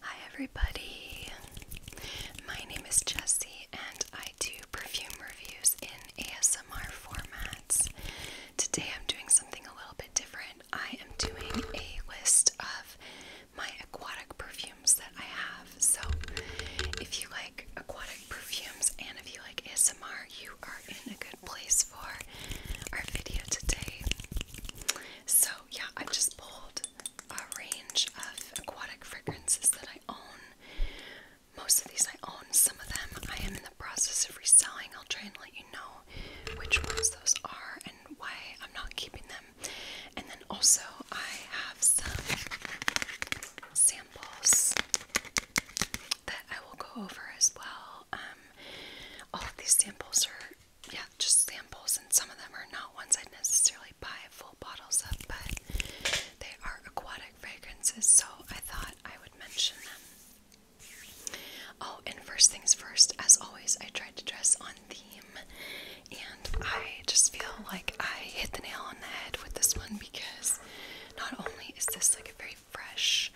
Hi, everybody. My name is Jessie, and I do perfume reviews in ASMR formats. Today, I'm doing something a little bit different. I am doing a list of my aquatic perfumes that I have. So, if you like aquatic perfumes and if you like ASMR, you are in a good place for our video today. So, yeah, I've just pulled a range of aquatic fragrances that I own. Most of these I own, some of them I am in the process of reselling. I'll try and let you know which ones those are and why I'm not keeping them. And then also, I have some samples that I will go over as well. Um, all of these samples are yeah, just samples, and some of them are not ones I'd necessarily buy full bottles of, but they are aquatic fragrances, so I thought I would mention them. Oh, and first things first, as always, I tried to dress on theme, and I just feel like I hit the nail on the head with this one because not only is this like a very fresh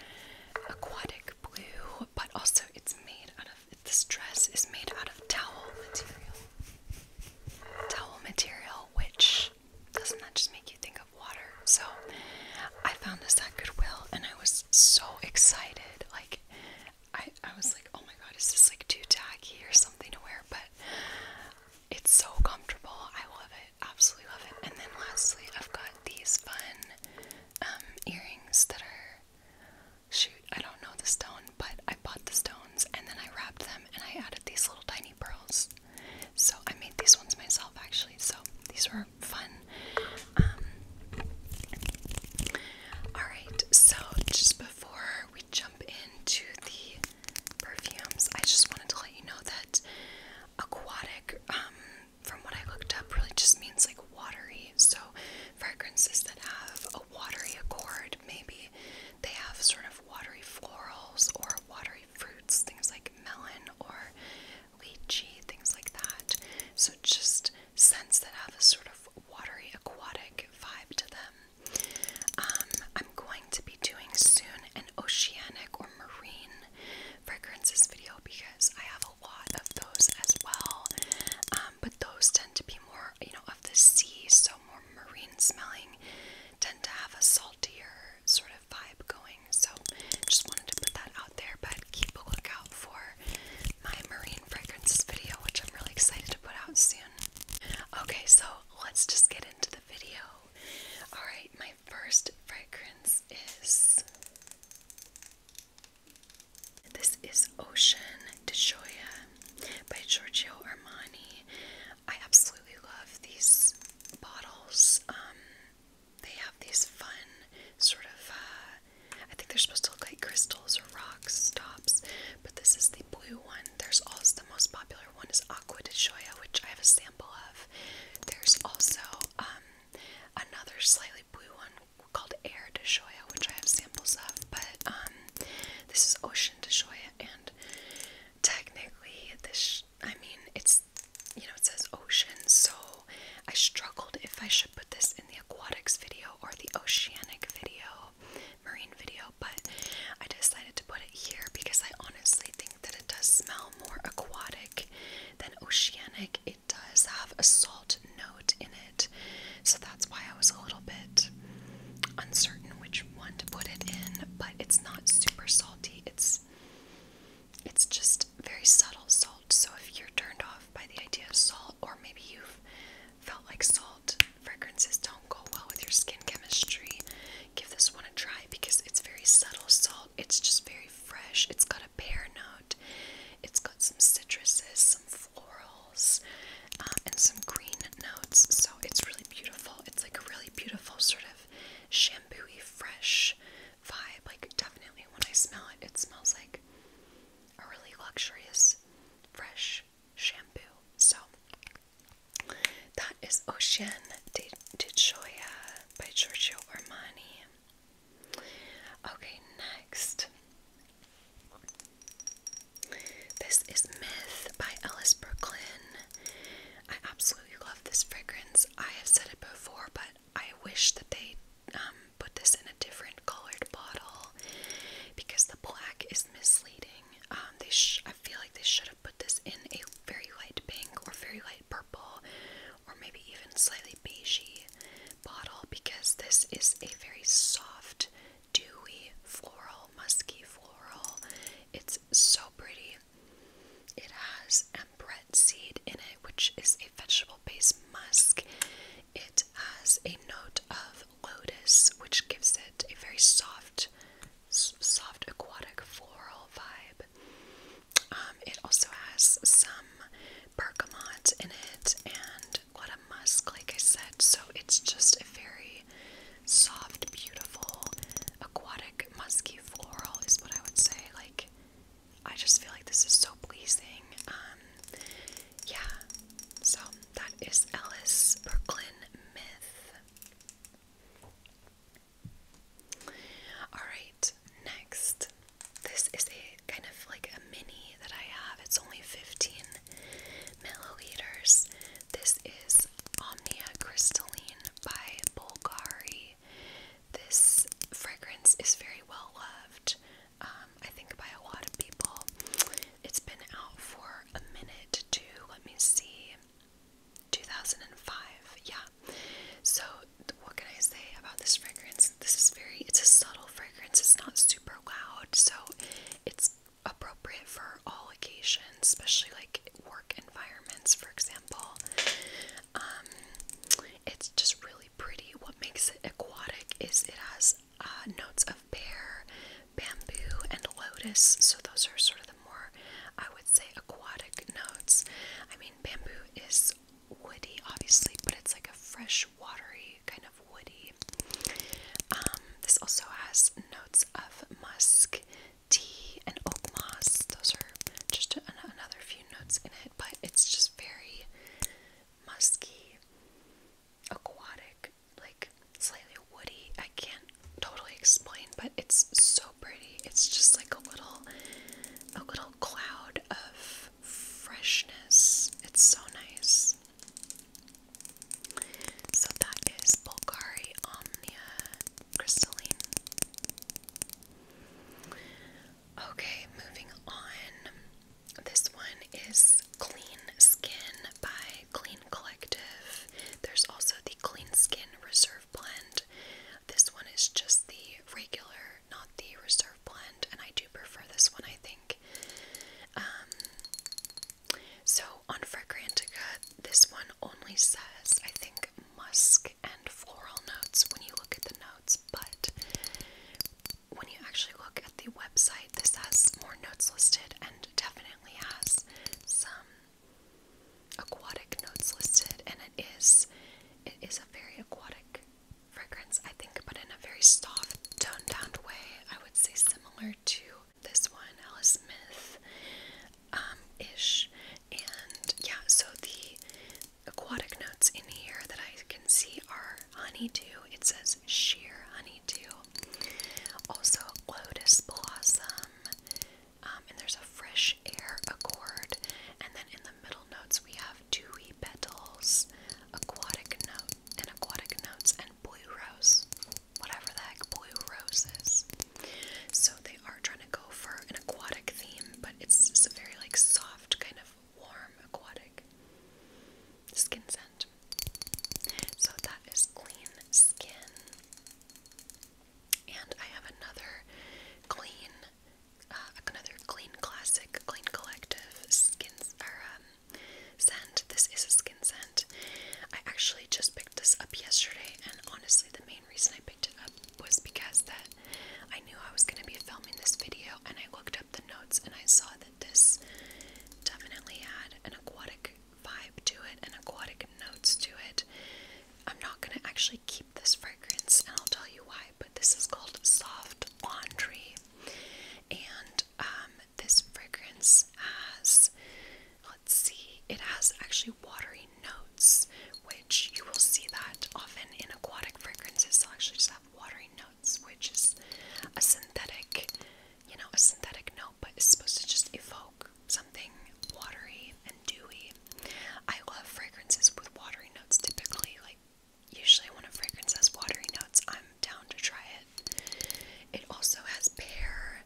aquatic blue, but also it's made out of this dress is made out of towel material. Towel material, which doesn't that just make you think of water? So I found this at Goodwill and I was so excited. Like I, I was like, oh my god, is this like too tacky or something to wear? But it's so comfortable. I love it. Absolutely love it. And then lastly, I've got these fun um, earrings that are shoot, I don't know the stone, but I bought the stones and then I wrapped them and I added these little tiny pearls. So I made these ones myself actually, so these were fun. Um, Alright, so just before we jump into the perfumes, I just wanted to let you know that aquatic um, from what I looked up, really just means like watery. So, fragrances that have a watery accord, maybe they have sort of watery florals or watery fruits, things like melon or lychee, things like that. So, just scents that have a sort of watery aquatic vibe to them. Um, I'm going to be doing soon an oceanic or marine fragrances video because I have a lot of those as well. Um, but those tend to be more, you know, of the sea, so more marine smelling, tend to have a saltier sort of vibe going. So just wanted to put that out there, but keep a lookout for my marine fragrances video, which I'm really excited to put out soon. Okay, so let's just get into the video. Alright, my first fragrance is this is Ocean de Gioia by Giorgio Armani. I absolutely love these bottles. Um, they have these fun sort of, uh, I think they're supposed to look like crystals or rocks, stops. but this is the blue one. There's also the most popular one is Aqua de Gioia, which I have a sample of. There's also um, another slightly blue one called Air de which I have samples of, but um, this is Ocean de Shoya, and technically, this, I mean, it's, you know, it says ocean, so I struggled if I should put this in the aquatics video or the oceanic video, marine video, but I decided to put it here because I honestly think that it does smell more aquatic than oceanic, it does have a salt note in it, so that's why I was a little bit uncertain which one to put it in, but it's not super salty. It's it's just very subtle salt. So if you're turned off by the idea of salt or maybe you've felt like salt fragrances don't go well with your skin chemistry, give this one a try because it's very subtle salt. It's just very fresh. It's got a pear note. It's got some citruses, some florals, um, and some green notes. So it's really beautiful. It's like a really beautiful sort of shampoo fresh vibe. Like definitely when I smell it, it smells like a really luxurious, fresh shampoo. So that is Ocean de, de Gioia by Giorgio Armani. Okay, next. This is Myth by Ellis Brooklyn. I absolutely love this fragrance. I have said it before, but I wish that they um, put this in a different colored bottle because the black is misleading. Um, they I feel like they should have put this in a very light pink or very light purple or maybe even slightly beigey bottle because this is a very soft, dewy, floral, musky floral. It's so pretty. It has ambrette seed in it, which is a vegetable based musk. It has a note of lotus, which gives it a very soft, soft aquatic floral vibe. Um, it also has some bergamot in it and what a musk, like I said. So it's just a very soft, beautiful, aquatic, musky floral is what I would say. Like, I just feel like this is so pleasing. Um, yeah, so that is Ellis Brooklyn Myth. Alright, next this is a kind of like a mini that I have. It's only 15 milliliters. This is Omnia Crystalline by Bulgari. This fragrance is very well loved, um, I think, by a lot of people. It's been out for a minute to, let me see, 2005. Yeah. So, what can I say about this fragrance? This is very, it's a subtle fragrance. It's not super loud, so it's appropriate for all occasions, especially like work environments, for example. Um, it's just really pretty. What makes it aquatic is it has uh, notes of pear, bamboo, and lotus. So those are sort of the more, I would say, aquatic notes. I mean, bamboo is it's woody, obviously, but it's like a fresh, watery kind of woody. Um, this also has notes of musk, tea, and oak moss. Those are just another few notes in it, but it's just very musky, aquatic, like slightly woody. I can't totally explain, but it's so pretty. It's just like a little, a little cloud of freshness. It's so nice. So that is Bulgari Omnia Crystalline. Okay, moving on. This one is Clean Skin by Clean Collective. There's also the Clean Skin Reserve Blend. This one is just the regular not the reserve blend, and I do prefer this one, I think. Um, so on Fragrantica, this one only says, I think, musk and floral notes when you look at the notes, but when you actually look at the website, this has more notes listed and definitely has some aquatic notes listed and it is it is a very aquatic fragrance, I think, but in a very soft, toned down way. I would say similar to this one, Ella Smith um, ish. And yeah, so the aquatic notes in here that I can see are honeydew. It says sheer honeydew. Also, lotus blossom. Um, and there's a fresh air accord. And then in the middle notes, we have dewy petals, aquatic note and aquatic notes and blue rose. Whatever the blue rose is. So they are trying to go for an aquatic theme, but it's just a very like soft, kind of warm aquatic skin scent. So that is clean skin. And I have another clean, uh, another clean classic, clean collective skins or um, scent. This is a skin scent. I actually just picked this up yesterday, and honestly, the main reason I picked it up was because that I knew I was going to be filming this video, and I looked up the notes and I saw that this definitely had an aquatic vibe to it, and aquatic notes to it. I'm not going to actually keep this fragrance, and I'll tell you why, but this is called Soft Laundry and um, this fragrance has, let's see, it has actually watery notes, which you will see that often in aquatic fragrances. They'll actually just have watery notes, which is a synthetic, you know, a synthetic note, but it's supposed to just evoke something watery and dewy. I love fragrances with watery notes typically, like usually one of fragrances has watery notes, I'm down to try it. It also has pear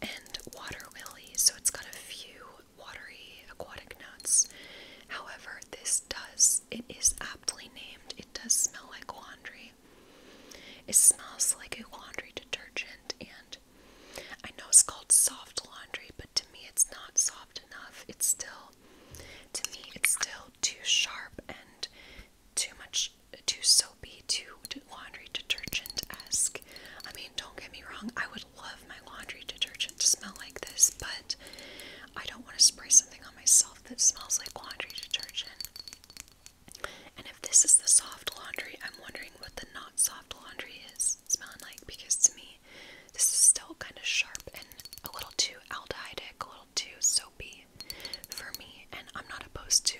and water lily, so it's got a few watery aquatic notes. However, this does, it is aptly named, it does smell like laundry. It smells like a laundry detergent, and I know it's called soft laundry, but to me, it's not soft enough. It's still, to me, it's still too sharp and too much too soapy, too laundry detergent esque. I mean, don't get me wrong, I would love my laundry detergent to smell like this, but I don't want to spray something on myself that smells like laundry detergent. And if this is the soft laundry, I'm wondering what the not soft laundry is smelling like because to me, this is still kind of sharp and a little too aldehydic, a little too soapy soapy for me, and I'm not opposed to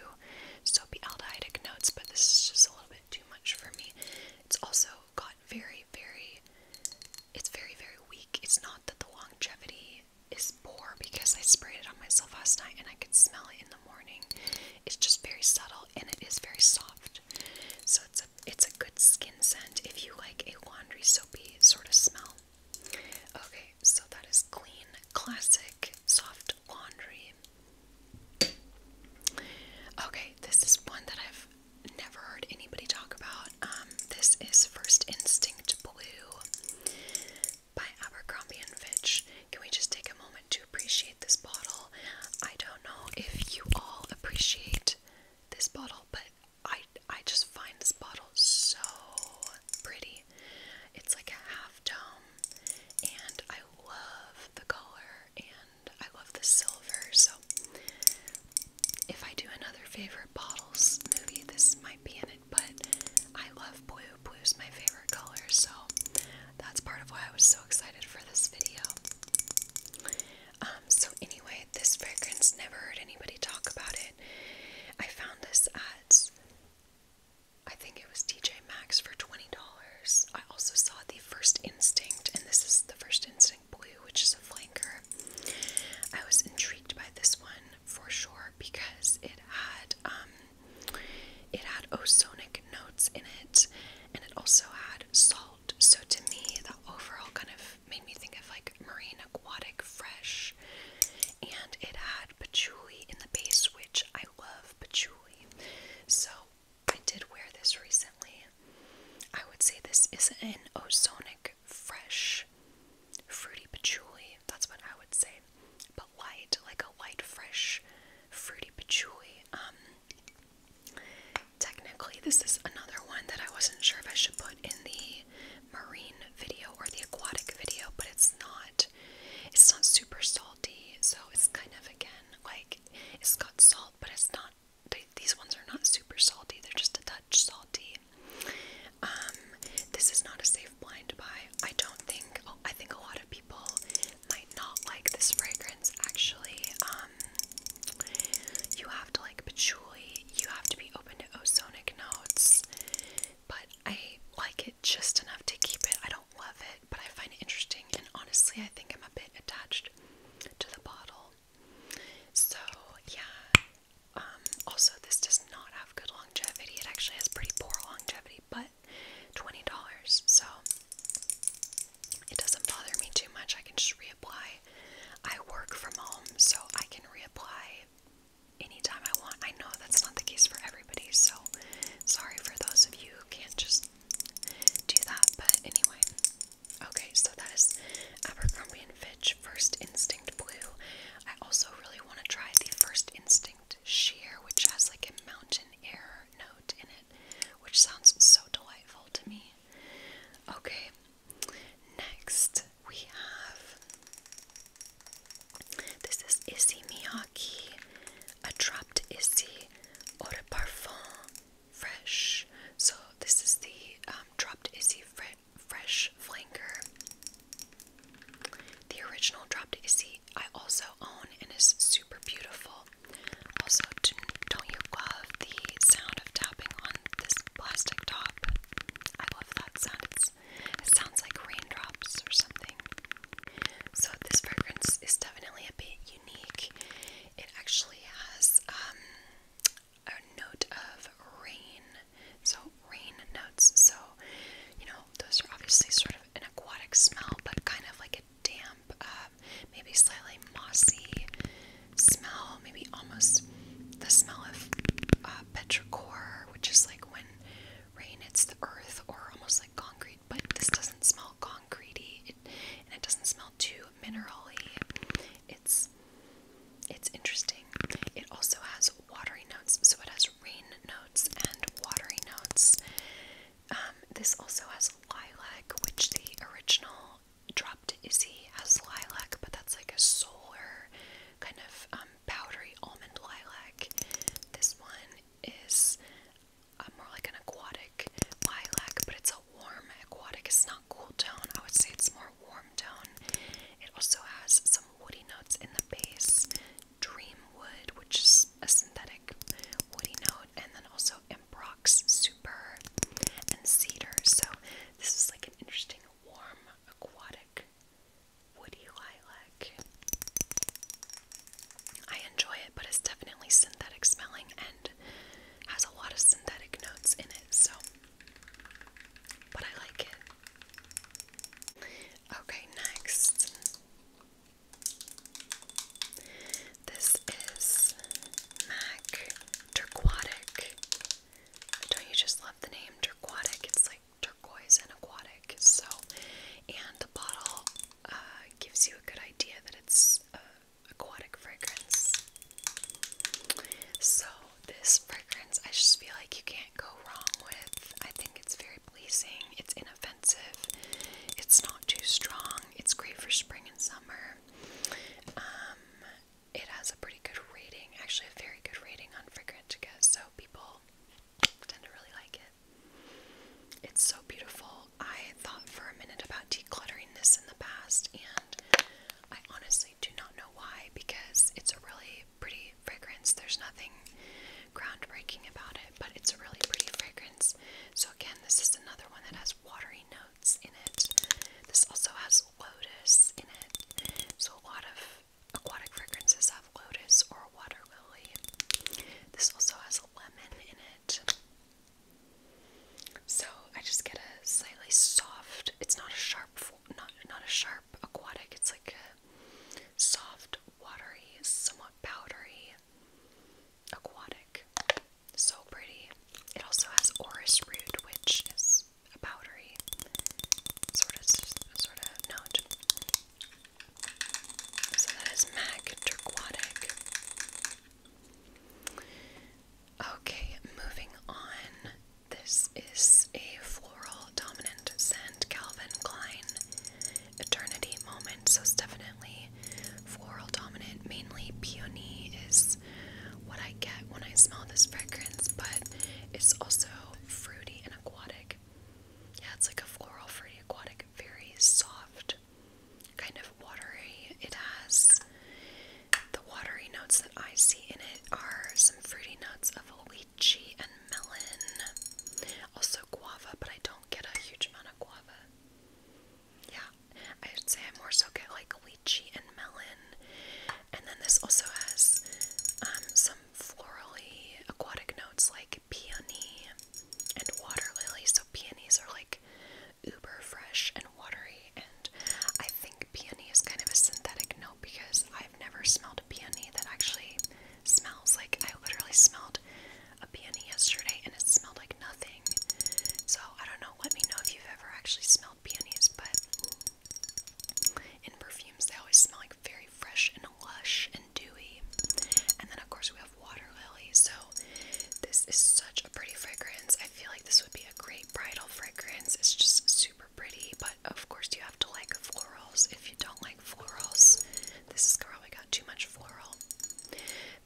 soapy aldehydic notes, but this is just a little bit too much for me. It's also got very, very, it's very, very weak. It's not that the longevity is poor because I sprayed it on myself last night and I could smell it in the morning. It's just very subtle and it is very soft. So it's a it's a good skin scent if you like a laundry soapy sort of smell. Okay, so that is clean, classic, soft laundry. Okay, this is one that I've never heard anybody talk about. Um, this is First Instinct Blue by Abercrombie and Fitch. Can we just take a moment to appreciate this bottle? I don't know if you all appreciate this bottle, but I I just find this bottle so pretty. It's like a half dome and I love the color and I love the silver. So if I do another favorite bottles movie, this might be in it, but I love blue. Blue is my favorite color, so that's part of why I was so excited for this video. Um, so anyway, this fragrance never heard anybody talk about it. I found this at, I think it was TJ Maxx for $20. I also saw the First Instinct, and this is the First Instinct Blue, which is a flanker. I was intrigued by this one for sure because it had, um, it had ozonic notes in it, and it also had salt. So to me, the overall kind of made me think of like marine aquatic fresh, and it had patchouli in the base, which I love patchouli. So I did wear this recently. I would say this is an ozonic fresh fruity patchouli. That's what I would say. But light, like a light fresh fruity patchouli. Um, technically this is another one that I wasn't sure if I should put in the marine video or the aquatic video, but it's not it's not super salty, so it's kind of again like it's got salt, but it's not these ones are not super salty, they're just a touch salty. Um, this is not a safe blind buy. I don't think oh, I think a lot of people might not like this fragrance actually. Um, you have to like patchouli, you have to be open to ozonic notes but I like it just enough to keep it. I don't love it, but I find it interesting, and honestly, I think I'm a bit attached to the bottle. So, yeah. Um, also, this does not have good longevity. It actually has pretty poor longevity, but $20, so it doesn't bother me too much. I can just reapply. I work from home, so I can reapply anytime I want. I know that's not the case for everybody, so sorry for those of you who can't just do that, but anyway. Okay, so that is Abercrombie & Fitch First Instinct Blue. I also really want to try the First Instinct Sheer, which has like a mountain air note in it, which sounds so delightful to me. Okay, next we have this is Issy Miyake, a dropped Issy Eau de Parfum Fresh. So this is the um, dropped Issy Fresh flanker. The original dropped Issy I also own and is super beautiful. Also, don't you love the sound of tapping on this plastic top? I love that sound. It sounds like raindrops or something. So, this fragrance is definitely a bit unique. It actually has um, a note of rain, so rain notes. So, you know, those are obviously sort of an aquatic smell, but kind of like a damp, uh, maybe slightly mossy smell, maybe almost the smell of uh, petrichor which is like when rain hits the earth or almost like concrete, but this doesn't smell concretey it, and it doesn't smell too minerally. It's it's interesting. It also has watery notes, so it has rain notes and watery notes. Um, this also has lilac, which the original Dropped Izzy has lilac, but that's like a solar kind of um, powdery almond lilac. This one is uh, more like an aquatic lilac, but it's a warm aquatic. It's not cool tone. I would say it's more warm tone. It also has some woody notes in the base. Dream wood, which is a synthetic woody note, and then also Embrox Super and Cedar. So this is like an interesting warm aquatic woody lilac. I enjoy it, but it's definitely synthetic smelling and has a lot of synthetic notes in it, so. But I like it. Okay, next. This is MAC Turquoise. Don't you just love the name Turquoise? It's like turquoise and aquatic. So, and the bottle uh, gives you a good idea that it's uh, aquatic fragrance. So, this fragrance, I just feel like you can't go wrong with. I think it's very pleasing, it's inoffensive, it's not too strong, it's great for spring and summer. Um, it has a pretty good rating, actually, a very good rating on fragrance so people tend to really like it. It's so beautiful. I thought for a minute about decluttering this in the past, and I honestly do not know why because it's a really pretty fragrance. There's nothing groundbreaking about it, but it's a really pretty fragrance. So, again, this is another one that has watery notes in it. This also has lotus in it. So, a lot of Aquatic fragrances have lotus or water lily. This also has lemon in it. So I just get a slightly soft. It's not a sharp, not not a sharp aquatic. It's like a soft, watery, somewhat powdery aquatic. So pretty. It also has orris root, which is a powdery sort of sort of note. So that is MAC Turquoise. Okay, moving on. This is a floral dominant scent, Calvin Klein Eternity Moment. So definitely floral dominant. Mainly peony is what I get when I smell this fragrance, but it's also fruity and aquatic. Yeah, it's like a floral fruity aquatic, very soft, kind of watery. It has the watery notes that I see in it are some fruity notes of lychee and melon. Also guava, but I don't get a huge amount of guava. Yeah, I would say I more so get like lychee and melon. And then this also has um, some florally aquatic notes like peony and water lily. So peonies are like uber fresh and watery, and I think peony is kind of a synthetic note because I've never smelled a peony that actually smells like I literally smelled a peony yesterday and it smelled like nothing. So I don't know, let me know if you've ever actually smelled peonies, but in perfumes they always smell like very fresh and lush and dewy. And then of course we have water lilies. So this is such a pretty fragrance. I feel like this would be a great bridal fragrance. It's just super pretty, but of course you have to like florals. If you don't like florals, this has probably got too much floral.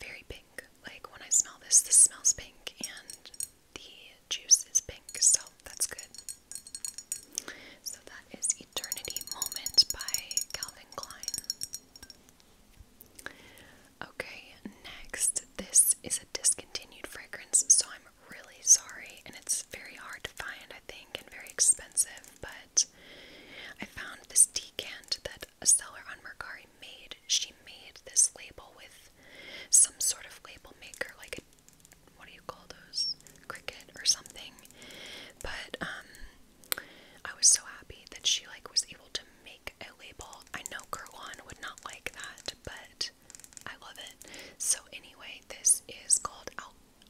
Very pink. Like when I smell this, this smells pink and the juice is pink, so that's good. So that is Eternity Moment by Calvin Klein. Okay, next, this is a discontinued fragrance, so I'm really sorry, and it's very hard to find, I think, and very expensive, but I found this decant that a seller on Mercari made. She made this label with some sort of label maker, like a what do you call those? Cricket or something. But um, I was so happy that she like was able to make a label. I know Kirwan would not like that, but I love it. So anyway, this is called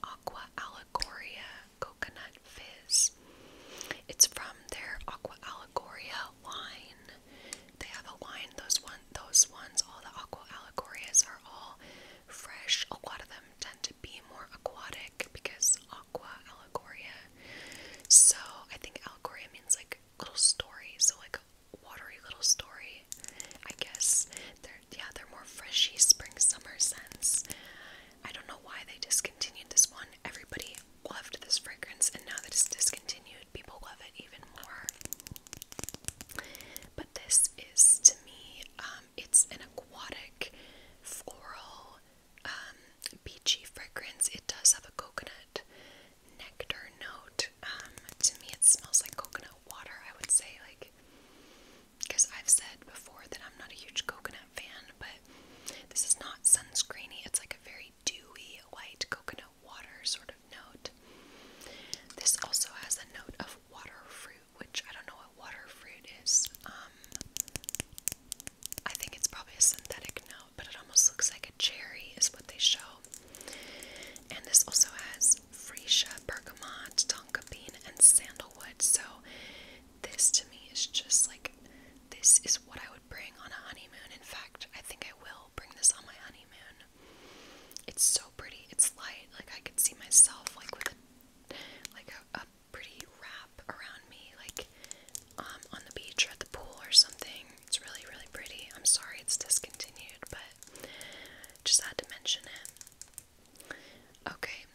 Aqua Allegoria Coconut Fizz. It's from their Aqua Allegoria wine. They have a wine. Those one, those ones, all the Aqua Allegorias are all fresh. A lot of them tend to be more aquatic because aqua allegoria. So I think allegoria means like little story. So like watery little story. I guess they're yeah they're more freshy spring summer scents. I don't know why they discontinued this one. Everybody loved this fragrance and now that it's discontinued, people love it even more. But this is to me, um, it's an aquatic, floral, um, beachy fragrance. It does have a coconut nectar note. Um, to me, it smells like coconut water, I would say, like, because I've said before that I'm not a huge coconut fan, but this is not sunscreeny. It's like a very dewy, white coconut water sort of note. This also has a note of water fruit which I don't know what water fruit is. Um, I think it's probably a synthetic note, but it almost looks like a cherry, is what they show. And this also has freesia, bergamot, tonka bean, and sandalwood. So, this to me is just like this is what I would bring on a honeymoon. In fact, I think I will bring this on my honeymoon. It's so pretty. It's light. Like I could see myself like with a like a, pretty wrap around me, like um on the beach or at the pool or something. It's really, really pretty. I'm sorry it's discontinued, but just had to mention it. Okay.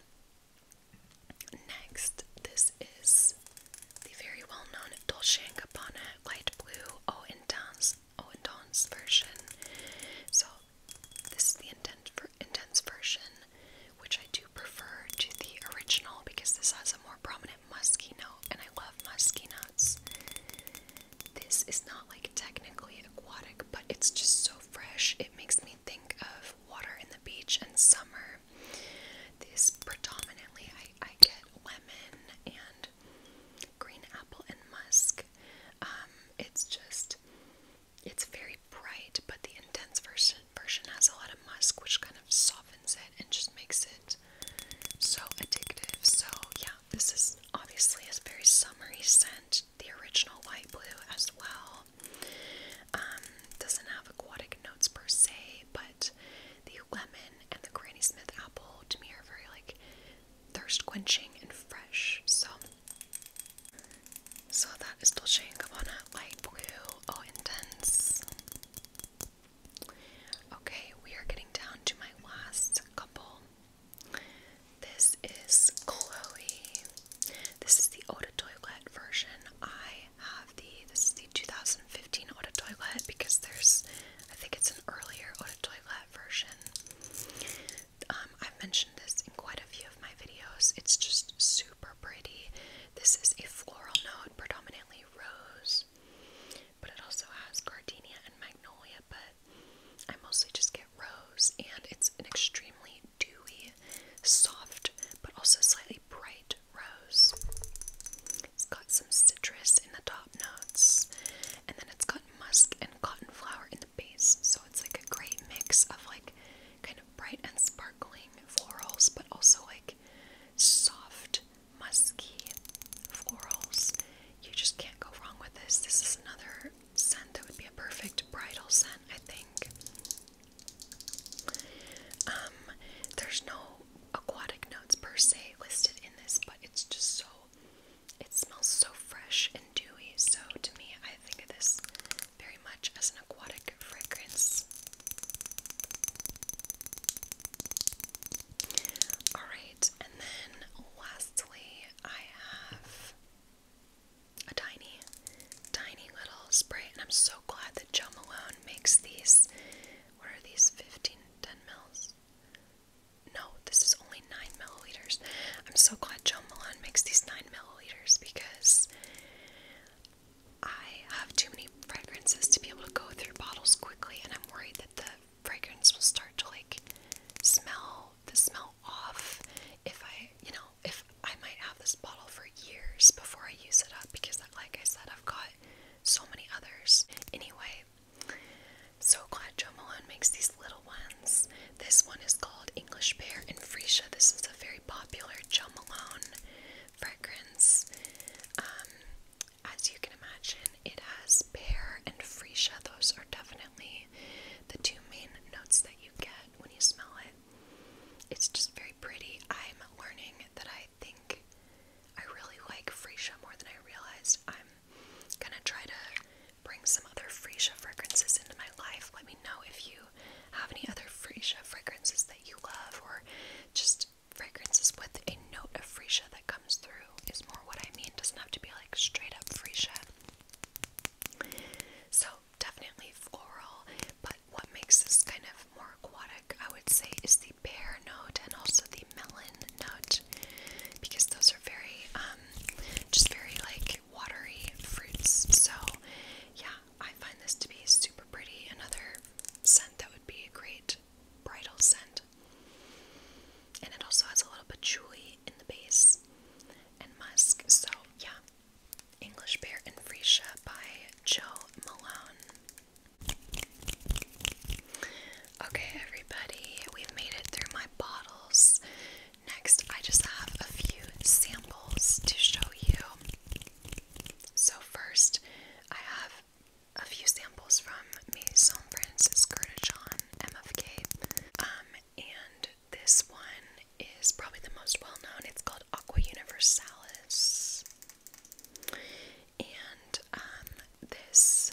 Next, this is the very well-known Dolce & Gabbana light blue O intense, o intense version. So this is the intense, version, which I do prefer to the original because this has a more prominent musky note, and I love musky notes. This is not like technically aquatic, but it's just so fresh. It makes me think of water in the beach and summer. This predominantly, I get lemon and green apple and musk. Um, it's just, it's very bright, but the intense version version has a lot of musk, which kind of softens it and just makes it so addictive. So yeah, this is obviously a very summery scent. The original white blue as well. Um, doesn't have aquatic notes per se, but the lemon and the Granny Smith apple to me are very like thirst quenching and fresh. So so that is Dolce & Gabbana Light Blue. all oh, intense. Okay, we are getting down to my last couple. This is Chloe. This is the Eau de Toilette version. I have the, this is the 2015 Eau de Toilette because there's, I think it's an earlier Eau de Toilette version. Um, I've mentioned this in quite a few of my videos. It's just super pretty. This is a floral note, predominantly rose, but it also has gardenia and magnolia. But I mostly just get rose, and it's an extremely dewy, soft, but also slightly bright rose. It's got some citrus in the top notes, and then it's got musk and cotton flower in the base, so it's like a great mix of like kind of bright and sparkling florals, but also like soft, musky florals. You just can't go wrong with this. This is another scent that would be a perfect bridal scent, I think. Um, there's no aquatic notes per se listed in this, but it's just so it smells so fresh and dewy, so to me, I think of this very much as an aquatic fragrance. Alright, and then lastly, I have a tiny, tiny little spray, and I'm so glad that Jo Malone makes these. What are these? 15, mils? no, this is only 9 milliliters. I'm so glad Joe Milan makes these 9 milliliters because I have too many fragrances to be able to go through bottles quickly, and I'm worried that the fragrance will start to like smell the smell off if I, you know, if I might have this bottle for years before I use it up because, like I said, I've got so many others. Anyway, so glad Joe Malone makes these little ones. This one is called English Pear and Freesia. This is a very popular Jo Malone fragrance. Um, as you can imagine, it has pear and freesia. Those are definitely the two main notes that you get when you smell it. It's just very pretty. I'm learning that I think I really like freesia more than I realized. I'm gonna try to bring some other Freesia fragrances into my life. Let me know if you have any other Freesia fragrances that you love, or just fragrances with a note of Freesia that comes through, is more what I mean. doesn't have to be like straight up Freesia. So, definitely floral, but what makes this kind of more aquatic, I would say, is the pear note and also the melon note because those are very, um, just very like watery fruits. So, yeah, I find this to be super pretty. Another scent that would be a great bridal scent. And it also has a little patchouli in the base and musk. So, yeah. English Pear and Freesia by Joe Malone. Okay, everybody, we've made it through my bottles. Next, I just have a few samples to show you. So, first, I have a few samples from Maison Francis Curtichon MFK. Um, and this one is probably the most well known. It's called Aqua Universalis. And um, this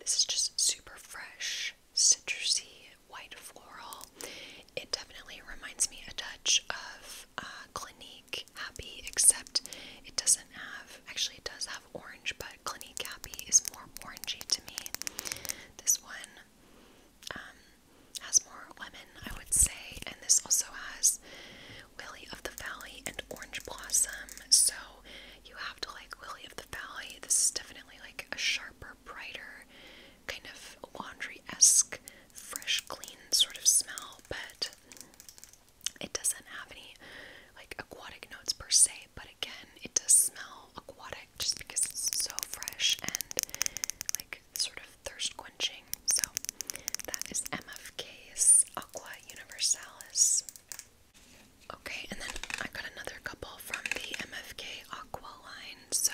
this is just super fresh rich, citrusy, white floral. It definitely reminds me a touch of uh, Clinique Happy, except it doesn't have, actually, it does have orange, but Clinique Happy is more orangey to me. This one um, has more lemon, I would say, and this also has Lily of the Valley and Orange Blossom, so you have to like Lily of the Valley. This is definitely like a sharp sharper, brighter, kind of laundry esque, fresh, clean sort of smell, but it doesn't have any like aquatic notes per se. But again, it does smell aquatic just because it's so fresh and like sort of thirst quenching. So that is MFK's Aqua Universalis. Okay, and then I got another couple from the MFK aqua line. So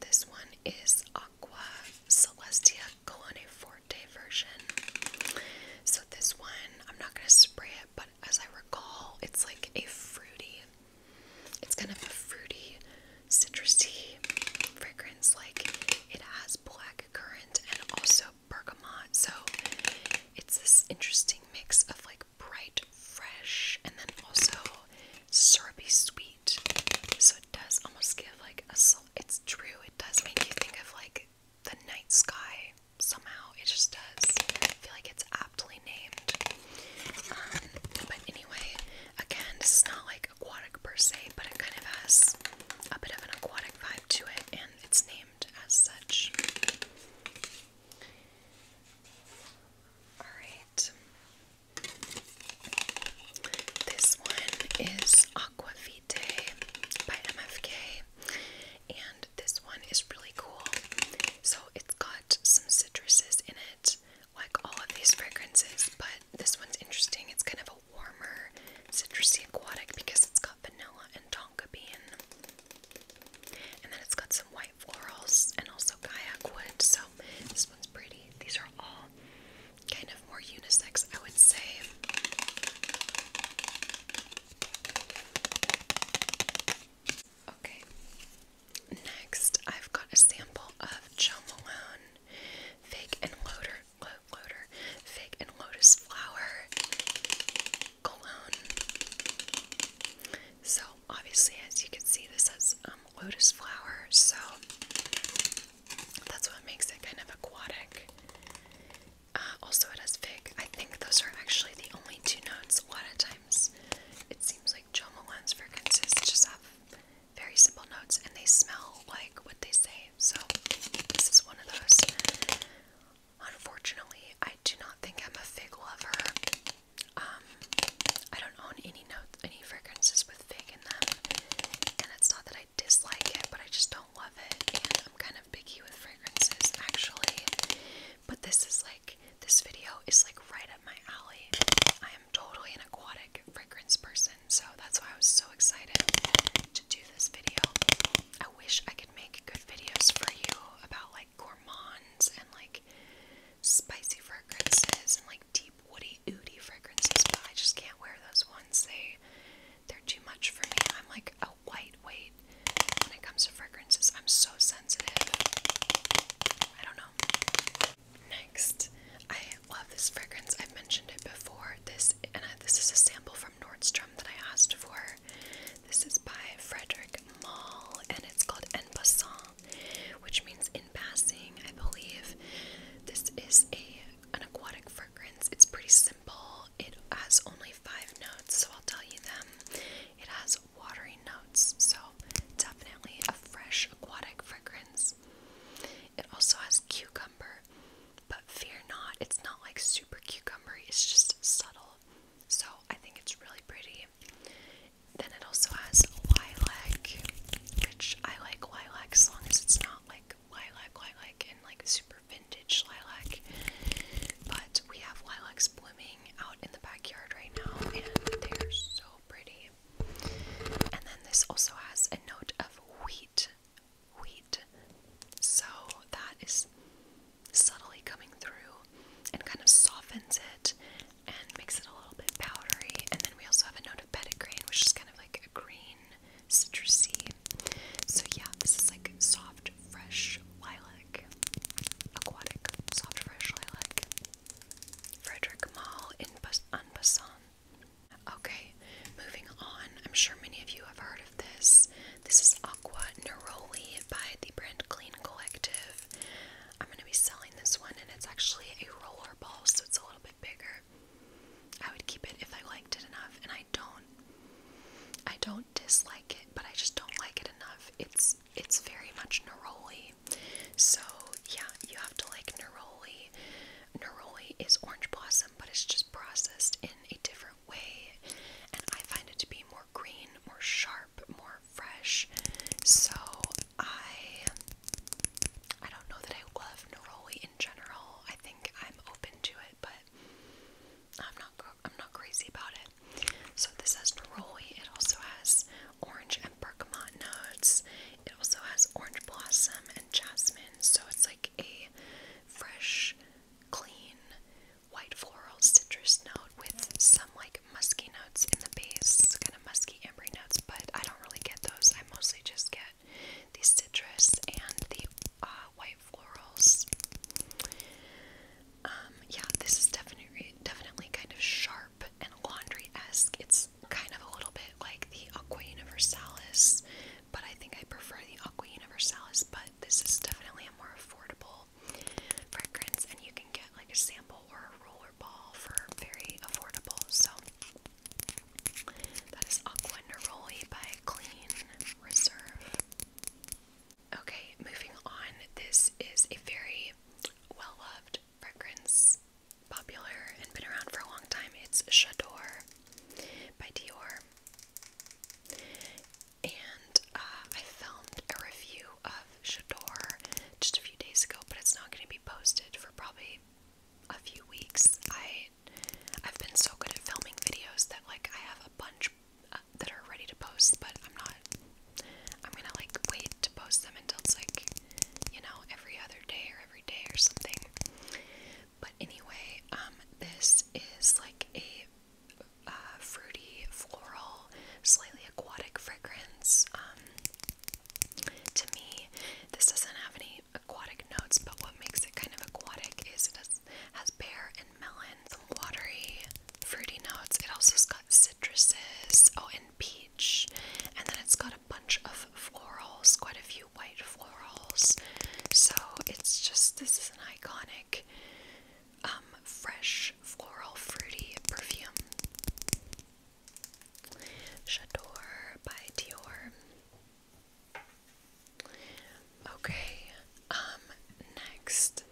this one is Aqua Celestia Colone Forte version. So this one, I'm not gonna spray it, but as I recall, it's like a fruity, it's kind of a fruity, citrusy fragrance. Like it has black currant and also bergamot. So it's this interesting mix of like bright fresh and then also syrupy sweet. So it does almost give like a it's true, it does make you think of like the night sky somehow. It just does. I feel like it's aptly named. Um, but anyway, again, this is not like aquatic per se, but it kind of has a bit of an aquatic vibe to it, and it's named as such. Alright. This one is Aqua by MFK. And this one is really cool. So it's got some citruses in it, like all of these fragrances, but this one's interesting. It's kind of a warmer, citrusy aquatic because it's got vanilla and tonka bean. And then it's got some white florals and also kayak wood. So this one's pretty. These are all kind of more unisex, I would say. Okay. Next, I've got a sample of Jo Malone Fig and Lotus Flower so obviously, as you can see, this has um, lotus flower, so that's what makes it kind of aquatic. Uh, also, it has fig. I think those are actually the only two notes. A lot of times, it seems like Jo Malone's fragrances just have very simple notes, and they smell like what they say. So this is one of those. Unfortunately, I do not think I'm a fig lover. Um, I don't own any notes, any fragrances with fig in them, and it's not that I dislike it, but I just don't love it, and I'm kind of picky with fragrances, actually, but this is like, this video is like right up my alley. I am totally an aquatic fragrance person, so that's why I was so excited to do this video. I wish I could make good videos for you about, like, gourmands and like spicy fragrances and like deep woody ooty fragrances, but I just can't wear those ones. They they're too much for me. I'm like a white weight when it comes to fragrances. I'm so sensitive. I don't know. Next, I love this fragrance. I've mentioned it before. This and this is a sample from Nordstrom that I asked for. This is by Frederick Mall and it's called En Passant, which means in passing, I believe. This is a an aquatic fragrance. It's pretty simple. It has only five notes, so I'll tell you them. It has watery notes, so definitely a fresh aquatic fragrance. It also has cucumber, but fear not, it's not like super cucumbery, it's just subtle. So I think it's really pretty. Then it also has lilac, which I like lilac as long as it's not like lilac, lilac, and like super vintage lilac. But we have lilacs blooming out in the backyard right now, and they are so pretty. And then this also has a note of wheat, wheat. So that is subtly coming through and kind of softens it and makes it a little bit powdery. And then we also have a note of petitgrain, which is kind of like a green, citrusy. So yeah, this is like soft, fresh lilac, aquatic, soft, fresh lilac. Frederick Mall in En Okay, moving on. I'm sure many of you have heard of this. This is Aqua Neroli by the brand Clean Collective. I'm going to be selling this one, and it's actually a roller ball, so it's a little bit bigger. I would keep it if I liked it enough, and I don't. I don't dislike it, but I just don't like it enough. It's it's very much neroli, so yeah, you have to like neroli. Neroli is orange blossom, but it's just processed in a different way, and I find it to be more green, more sharp, more fresh. So I I don't know that I love neroli in general. I think I'm open to it, but I'm not I'm not crazy about it. So this has neroli. It also has orange and bergamot notes. It also has orange blossom and jasmine. So it's like a fresh, clean, white floral citrus note with some like musky notes in the base, kind of musky ambery notes, but I don't really get those. I mostly just get the citrus and the uh, white florals. Um, yeah, this is definitely definitely kind of sharp and laundry-esque. It's kind of a little bit like the Aqua Universalis, but I think I prefer the Aqua Universalis, but this is definitely a more affordable fragrance, and you can get like a sample or a roller ball for very affordable. So that is Aqua by Clean Reserve. Okay, moving on. This is a very well loved fragrance, popular and been around for a long time. It's J'adore by Dior. And uh, I filmed a review of Shador just a few days ago, but it's not going to be posted for probably a few weeks. I I've been so good at filming videos that like I have a bunch uh, that are ready to post, but I'm not. I'm gonna like wait to post them until it's like you know every other day or every day or something. But anyway, um, this is like a uh, fruity, floral, slightly aquatic fragrance. Um, to me, this doesn't have any aquatic notes, but what makes it kind of aquatic is it has, has pear and melon, some watery, fruity notes. It also's got citruses, oh, and peach, and then it's got a bunch of florals, quite a few white florals. So it's just this is an iconic um, fresh floral fruity perfume. Chador by Dior. Okay, um, next.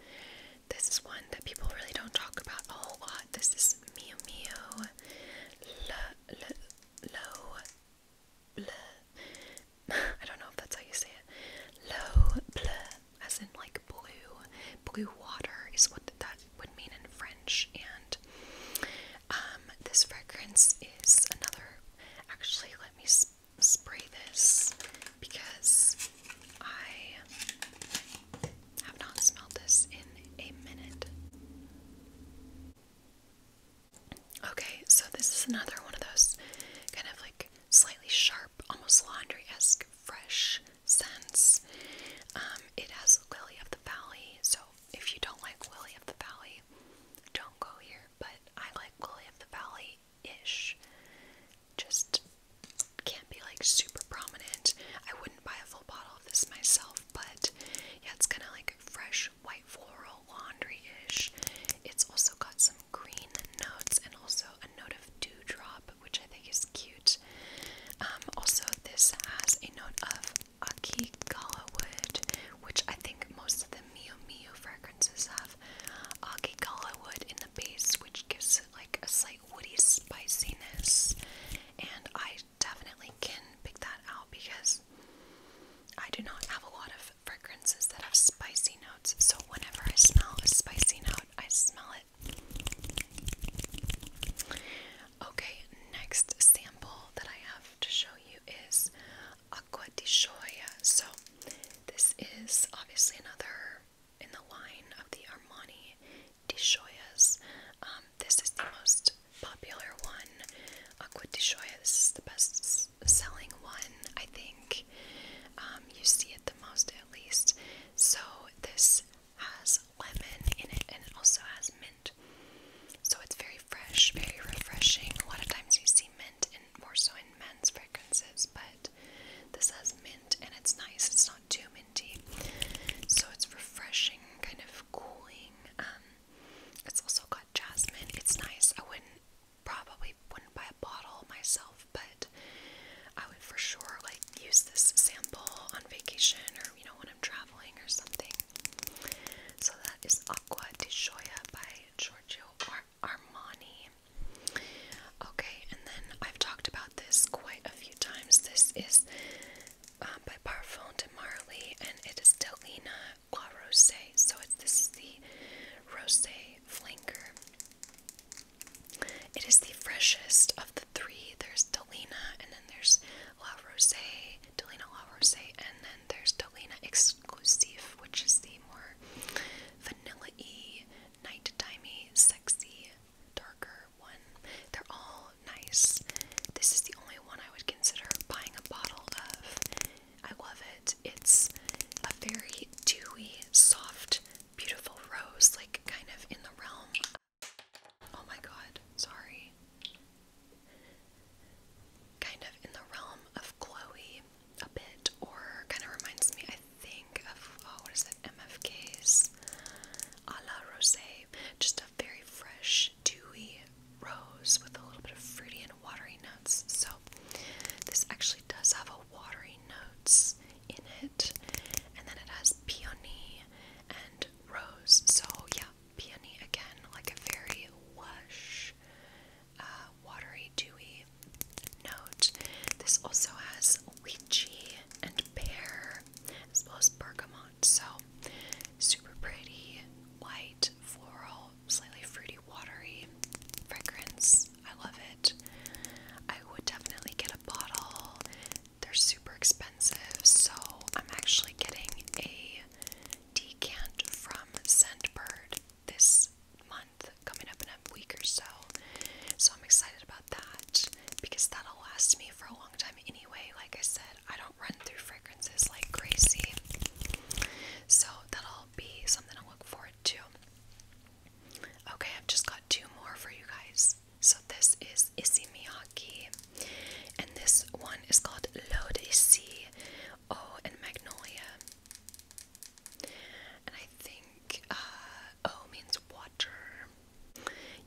This is one that people really don't talk about a whole lot. This is Miu Miu Le, Le, Lo, Le. I don't know if that's how you say it. Low Bleu as in like blue. Blue water is what that would mean in French. And um, this fragrance is another. Actually, let me spray this because I have not smelled this in a minute. Okay, so this is another one of those kind of like slightly sharp, almost laundry esque, fresh since um, it has Lily of the Valley, so if you don't like Lily of the Valley, don't go here. But I like Lily of the Valley ish. Just can't be like super prominent. I wouldn't buy a full bottle of this myself, but yeah, it's kind of like fresh white floral laundry ish. It's also got some green notes and also a note of dewdrop, which I think is cute. Um, also, this has a note of Akigala wood, which I think most of the Mio Mio fragrances have Akigala wood in the base, which gives like a slight woody spiciness. And I definitely can pick that out because I do not have a lot of fragrances that have spicy notes. So whenever I smell a spicy note, I smell it Okay, next sample that I have to show you is Aqua di Gioia. So, this is obviously another in the line of the Armani di Gioias. Um, this is the most popular one, Aqua di Gioia. This is the best selling one, I think. Um, you see it the most, at least. So, this has lemon in it and it also has mint. So it's very fresh, very refreshing. A lot of times you see mint and more so in men's fragrances, but this has mint and it's nice. It's not too minty. So it's refreshing, kind of cooling. Um, it's also got jasmine. It's nice. I wouldn't probably wouldn't buy a bottle myself, but I would for sure like use this sample on vacation or you know when I'm traveling or something. So that is Aqua di Gioia by Giorgio Armani. Okay, and then I've talked about this quite a few times. This is um, by Parfum de Marly and it is Delina La Rose. So this is the rose flanker. It is the freshest of the three. There's Delina, and then there's La Rose, Delina La Rose, and then there's Delina Exclusive, which is the more vanilla y, night-timey, sexy, darker one. They're all nice. This is the only one I would consider buying a bottle of. I love it. It's a very dewy, soft, beautiful rose, like kind of in the realm Oh my god, sorry. Kind of in the realm of Chloe a bit, or kind of reminds me, I think, of oh, what is that? MFK's a la rose. Just a very fresh, dewy rose with a little bit of fruity and watery notes. So, this actually does have a watery notes in it, and then it has peony and rose. So yeah, peony again, like a very lush, uh, watery, dewy note. This also has lychee and pear, as well as bergamot. So super pretty, white floral, slightly fruity, watery fragrance. I love it. I would definitely get a bottle they're super expensive, so I'm actually getting a decant from Scentbird this month, coming up in a week or so. So I'm excited about that because that'll last me for a long time anyway. Like I said, I don't run through fragrances like crazy, so that'll be something I'll look forward to. Okay, I've just got two more for you guys. So this is Isimiyaki. And this one is called Lodisi Oh and Magnolia. And I think uh, O means water.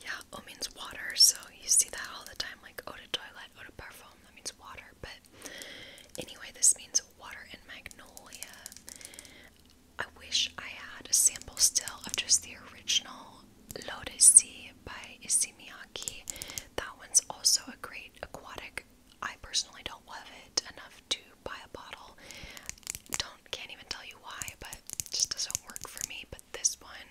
Yeah, O means water. So you see that all the time like eau de toilette, eau de parfum. That means water. But anyway, this means water and magnolia. I wish I had a sample still of just the original Lotus L'Odyssée by Issey Miyake. That one's also a great aquatic. I personally don't love it enough to buy a bottle. Don't can't even tell you why, but it just doesn't work for me. But this one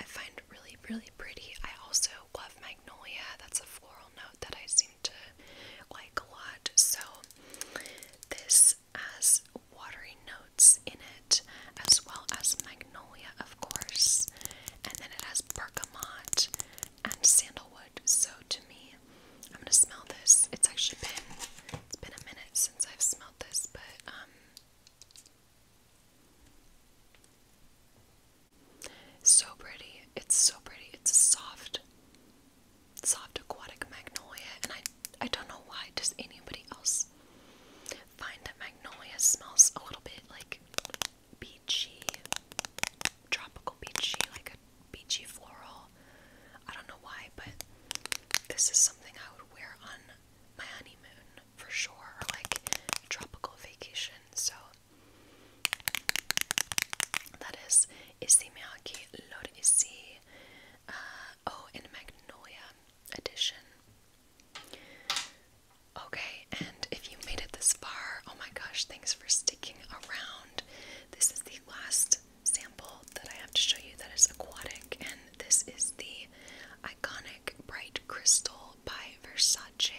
I find really, really pretty. I also love Magnolia. That's a floral note that I seem to like a lot. So this this watery notes in it, as well as magnolia, of course, and then it has bergamot and sandalwood. So to me, I'm gonna smell this. It's actually been it's been a minute since I've smelled this, but um, so pretty. It's so pretty. It's soft. Soft aquatic magnolia, and I I don't know why. Does anybody else find that magnolia smells a little bit like beachy, tropical beachy, like a beachy floral? I don't know why, but this is something I would wear on my honeymoon for sure, or like a tropical vacation. So that is Isimeaki Lord Isi. Uh, oh, and Magnolia edition. Okay, and if you made it this far, oh my gosh, thanks for sticking around. This is the last sample that I have to show you that is aquatic, and this is the iconic bright crystal by Versace.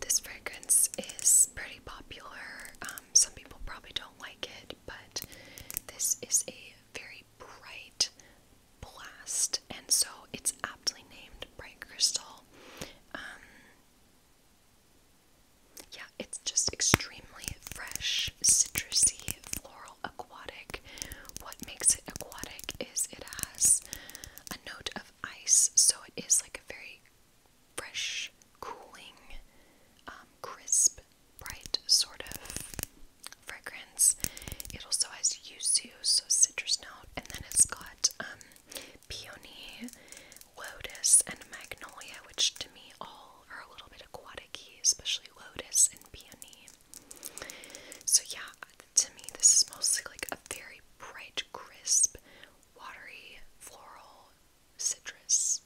This fragrance is pretty popular. Um, some people probably don't like it, but this is a very bright blast, and so it's aptly named Bright Crystal. Um, yeah, it's just extremely fresh, citrusy, floral, aquatic. What makes it aquatic is it has a note of ice, so it is like a very fresh, cooling, um, crisp bright sort of fragrance. It also has yuzu, so citrus note, and then it's got um, peony, lotus, and magnolia, which to me all are a little bit aquatic especially lotus and peony. So yeah, to me this is mostly like a very bright, crisp, watery, floral citrus.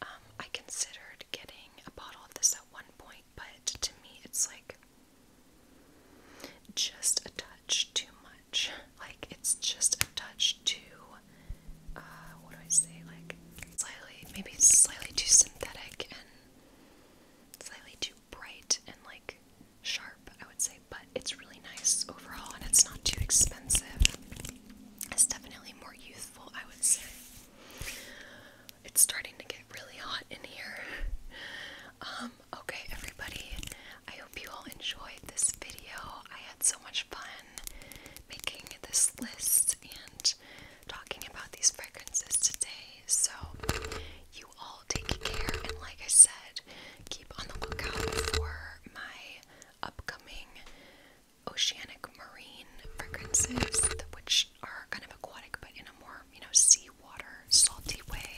Um, I considered getting a bottle of this at one point, but to me, it's like just a touch too much. Like, it's just a touch too, uh, what do I say? Like, slightly, maybe slightly too synthetic and slightly too bright and like sharp, I would say, but it's really nice overall and it's not too expensive. It's definitely more youthful, I would say. It's starting to get really hot in here. Um, okay, everybody, I hope you all enjoyed this video. I had so much fun making this list and talking about these fragrances today. So, you all take care, and like I said, keep on the lookout for my upcoming oceanic marine fragrances, which are kind of aquatic but in a more, you know, seawater, salty way.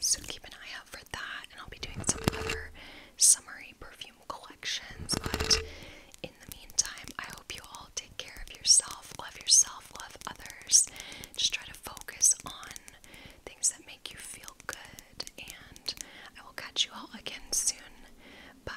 So keep an eye out for that. And I'll be doing some other summery perfume collections. But in the meantime, I hope you all take care of yourself, love yourself, love others. Just try to focus on things that make you feel good. And I will catch you all again soon. Bye.